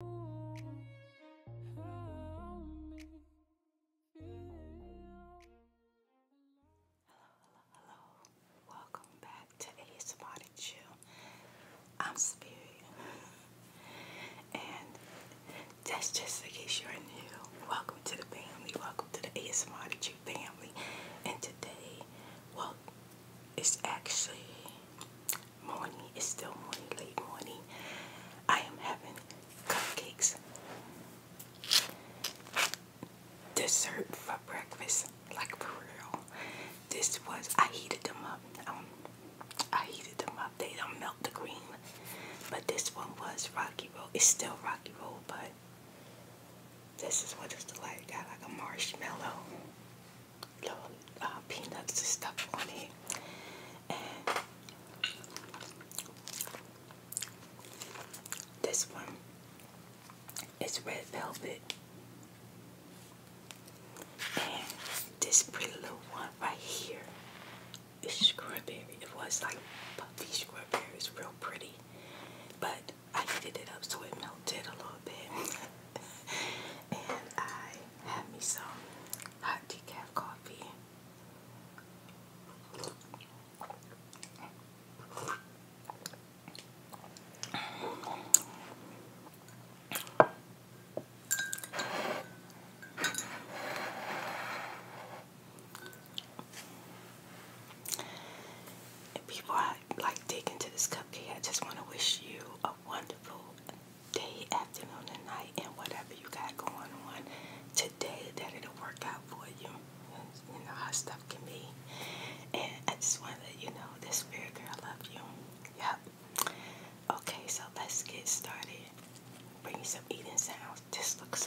hello, hello. Welcome back to ASMR to Chill. I'm Spirit. and just in case you're new. Welcome to the family. Welcome to the ASMR to you family. And today, well, it's actually morning. It's still morning, late morning. I am having cupcakes. Dessert for breakfast, like for real. This was, I heated them up. Um, I heated them up. They don't melt the cream. But this one was Rocky road. It's still Rocky road, but this is what it's like. Got like a marshmallow little uh, peanuts stuff on it. And this one is red velvet. And this pretty little one right here is strawberry. It was like puffy strawberry. It's real pretty. But I heated it up so it melted a little bit. and I have me some hot decaf coffee. And I like dig into this cupcake. I just want to wish you a wonderful day, afternoon, and night, and whatever you got going on today, that it'll work out for you. You know how stuff can be. And I just want to let you know this spirit girl, I love you. Yep. Okay, so let's get started. Bring some eating sounds. This looks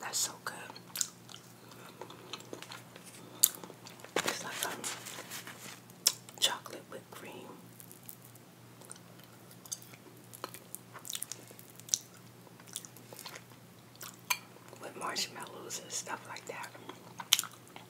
That's so good. It's like um, chocolate whipped cream. With marshmallows and stuff like that.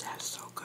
That's so good.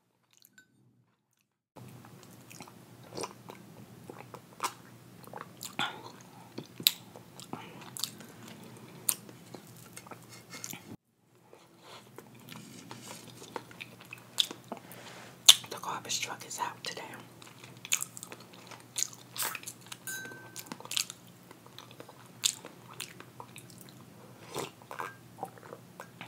The garbage truck is out today.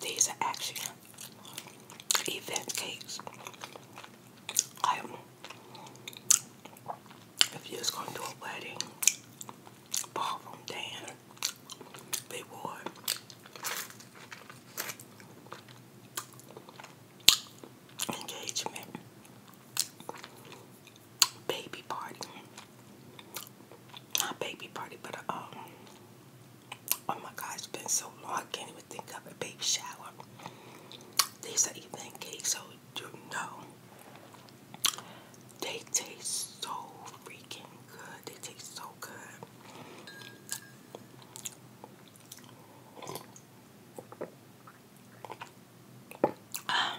These are actually event cakes. Like, if you are just gonna a wedding, ballroom dance, big board. Engagement baby party. Not baby party, but uh, um, oh my God, it's been so long, I can't even think of a baby shower. These are even cakes, so you know. They taste so freaking good. They taste so good. Um,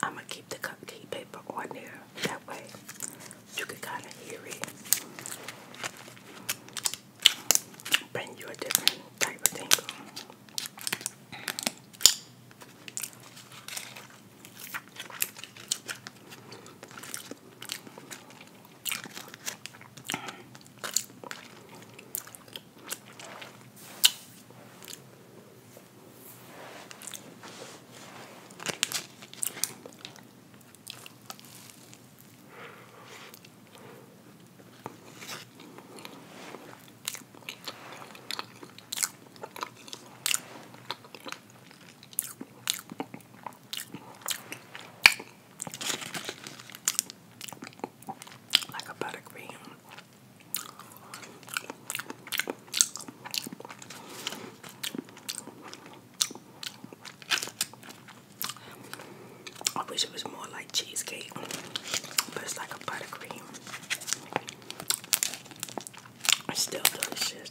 I'm gonna keep the cupcake paper on there that way you can kind of hear it bring you a different type of thing. Like a buttercream. I wish it was more like cheesecake, but it's like a buttercream. It's still delicious.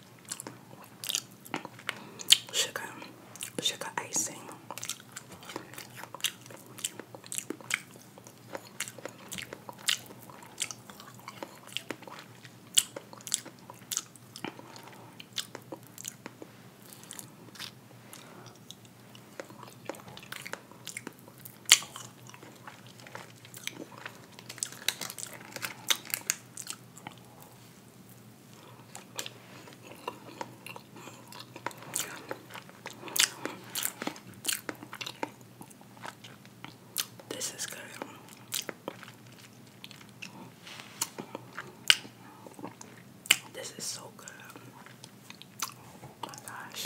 sugar, sugar icing. This is good. This is so good. Oh my gosh.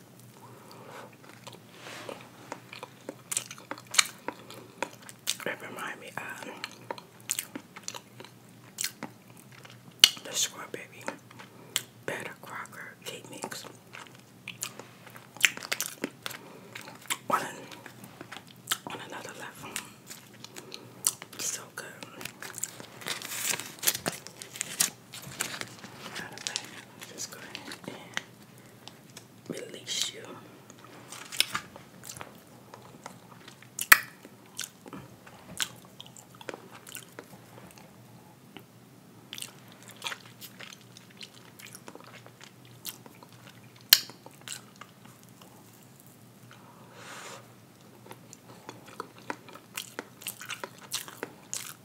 It me of uh, the Scrub Baby Better Crocker Cake Mix. On, on another level. So good. Out of that, just go ahead and release you.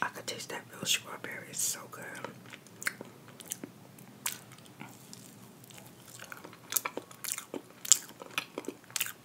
I can taste that real strawberry, it's so good.